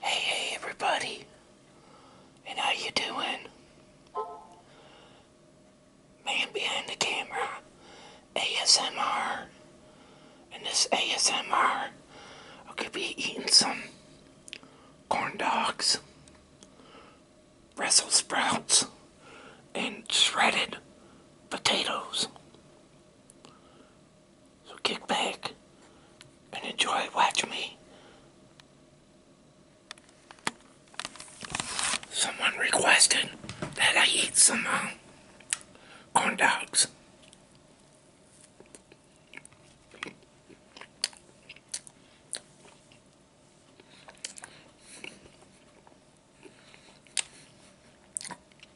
Hey, hey, everybody, and how you doing? Man behind the camera, ASMR, and this ASMR, I could be eating some corn dogs, Brussels sprouts, and shredded potatoes. So kick back and enjoy watching me. Someone requested that I eat some uh, corn dogs.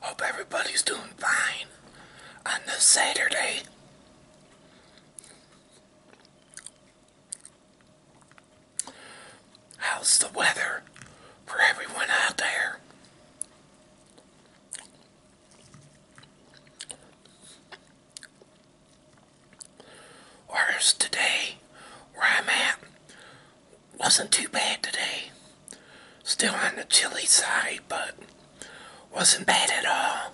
Hope everybody's doing fine on this Saturday. How's the weather for everyone out there? Whereas today, where I'm at, wasn't too bad today. Still on the chilly side, but wasn't bad at all.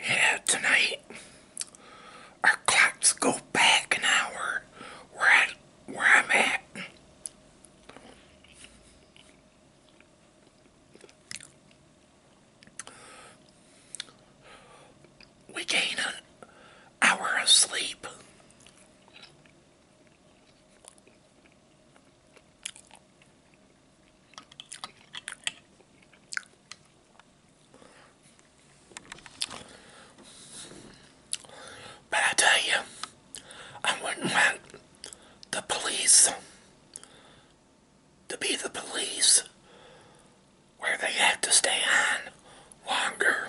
Yeah, tonight our clocks go back an hour where I am at. We gain an hour of sleep. But I tell you, I wouldn't want the police to be the police where they have to stay on longer.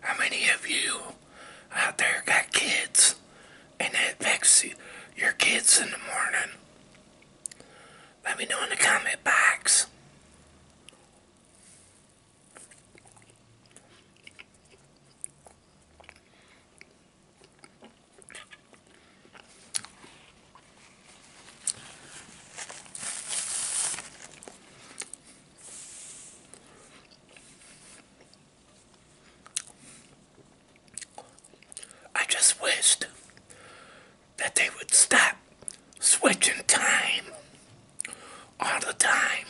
How many of you out there got kids and it affects your kids in the morning? Let me know in the comment box. I just wished that they would stop switching time all the time.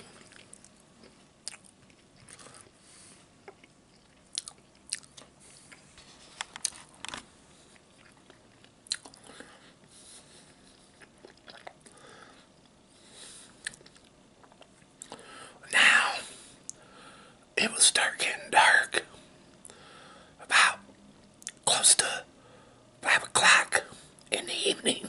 Now, it was dark getting dark about close to 5 o'clock in the evening.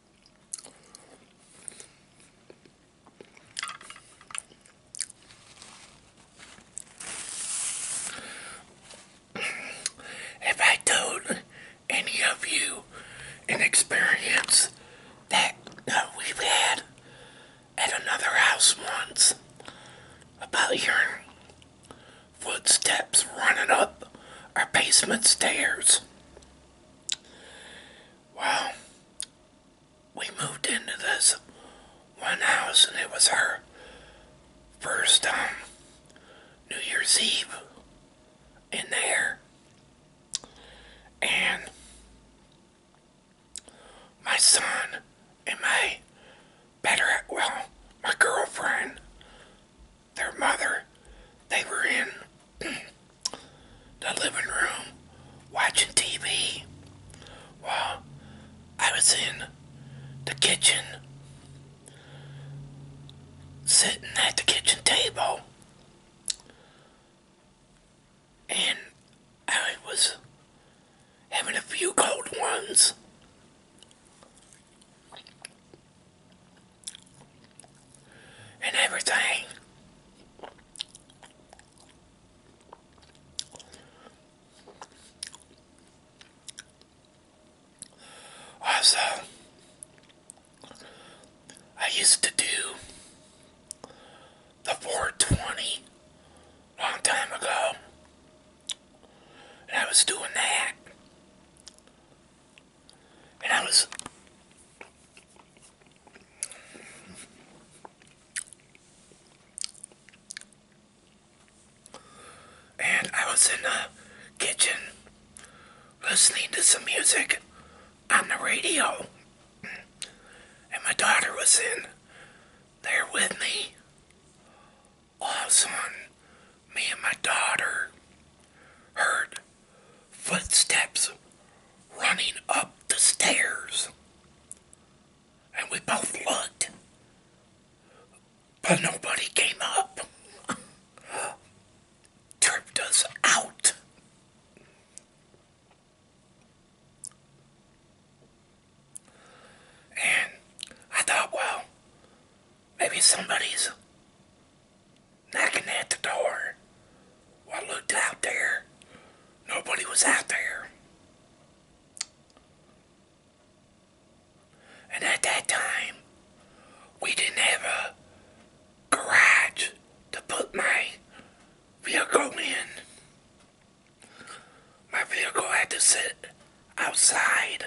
If I told any of you an experience that we've had at another house once about your footsteps running up our basement stairs. Well, we moved into this one house and it was our first um, New Year's Eve in there. And my son and my better, well, my girlfriend their mother. They were in the living room watching TV while I was in the kitchen sitting at the kitchen table and I was having a few cold ones and everything. Also, I used to do the 420 long time ago, and I was doing that and I was and I was in the kitchen listening to some music on the radio. And my daughter was in there with me also me and my daughter heard footsteps running up the stairs. And we both looked, but nobody came up. Tripped us out. And I thought, well, Maybe somebody's knocking at the door. I looked out there. Nobody was out there. And at that time, we didn't have a garage to put my vehicle in. My vehicle had to sit outside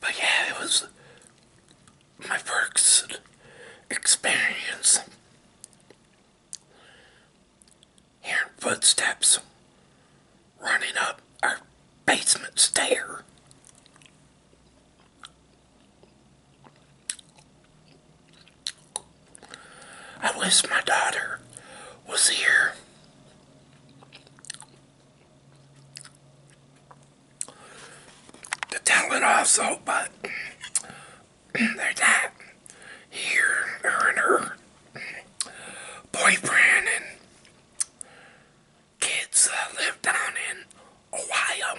But yeah, it was my first experience hearing footsteps running up our basement stair. I wish my daughter was here the talent also, but there's that here, her and her boyfriend and kids that uh, live down in Ohio.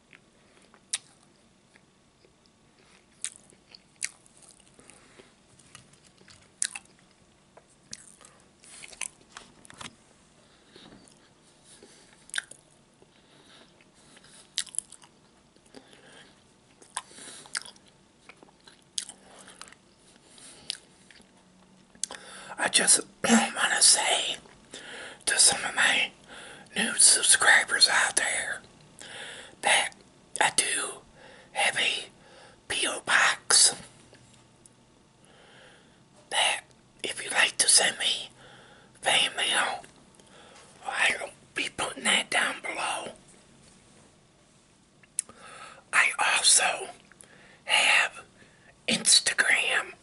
I just I want to say to some of my new subscribers out there that I do have a P.O. box that if you'd like to send me fan mail, I'll be putting that down below. I also have Instagram.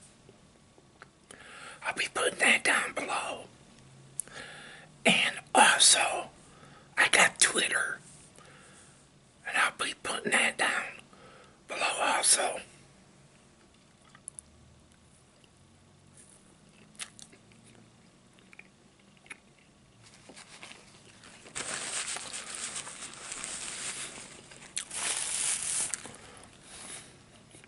I'll be putting that down below. And also, I got Twitter. And I'll be putting that down below also.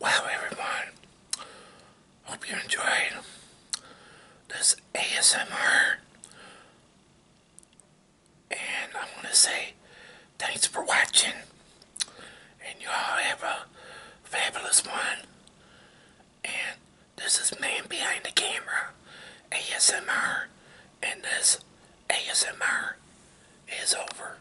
Wow, everyone, hope you enjoyed this ASMR. And I want to say thanks for watching. And you all have a fabulous one. And this is Man Behind the Camera ASMR. And this ASMR is over.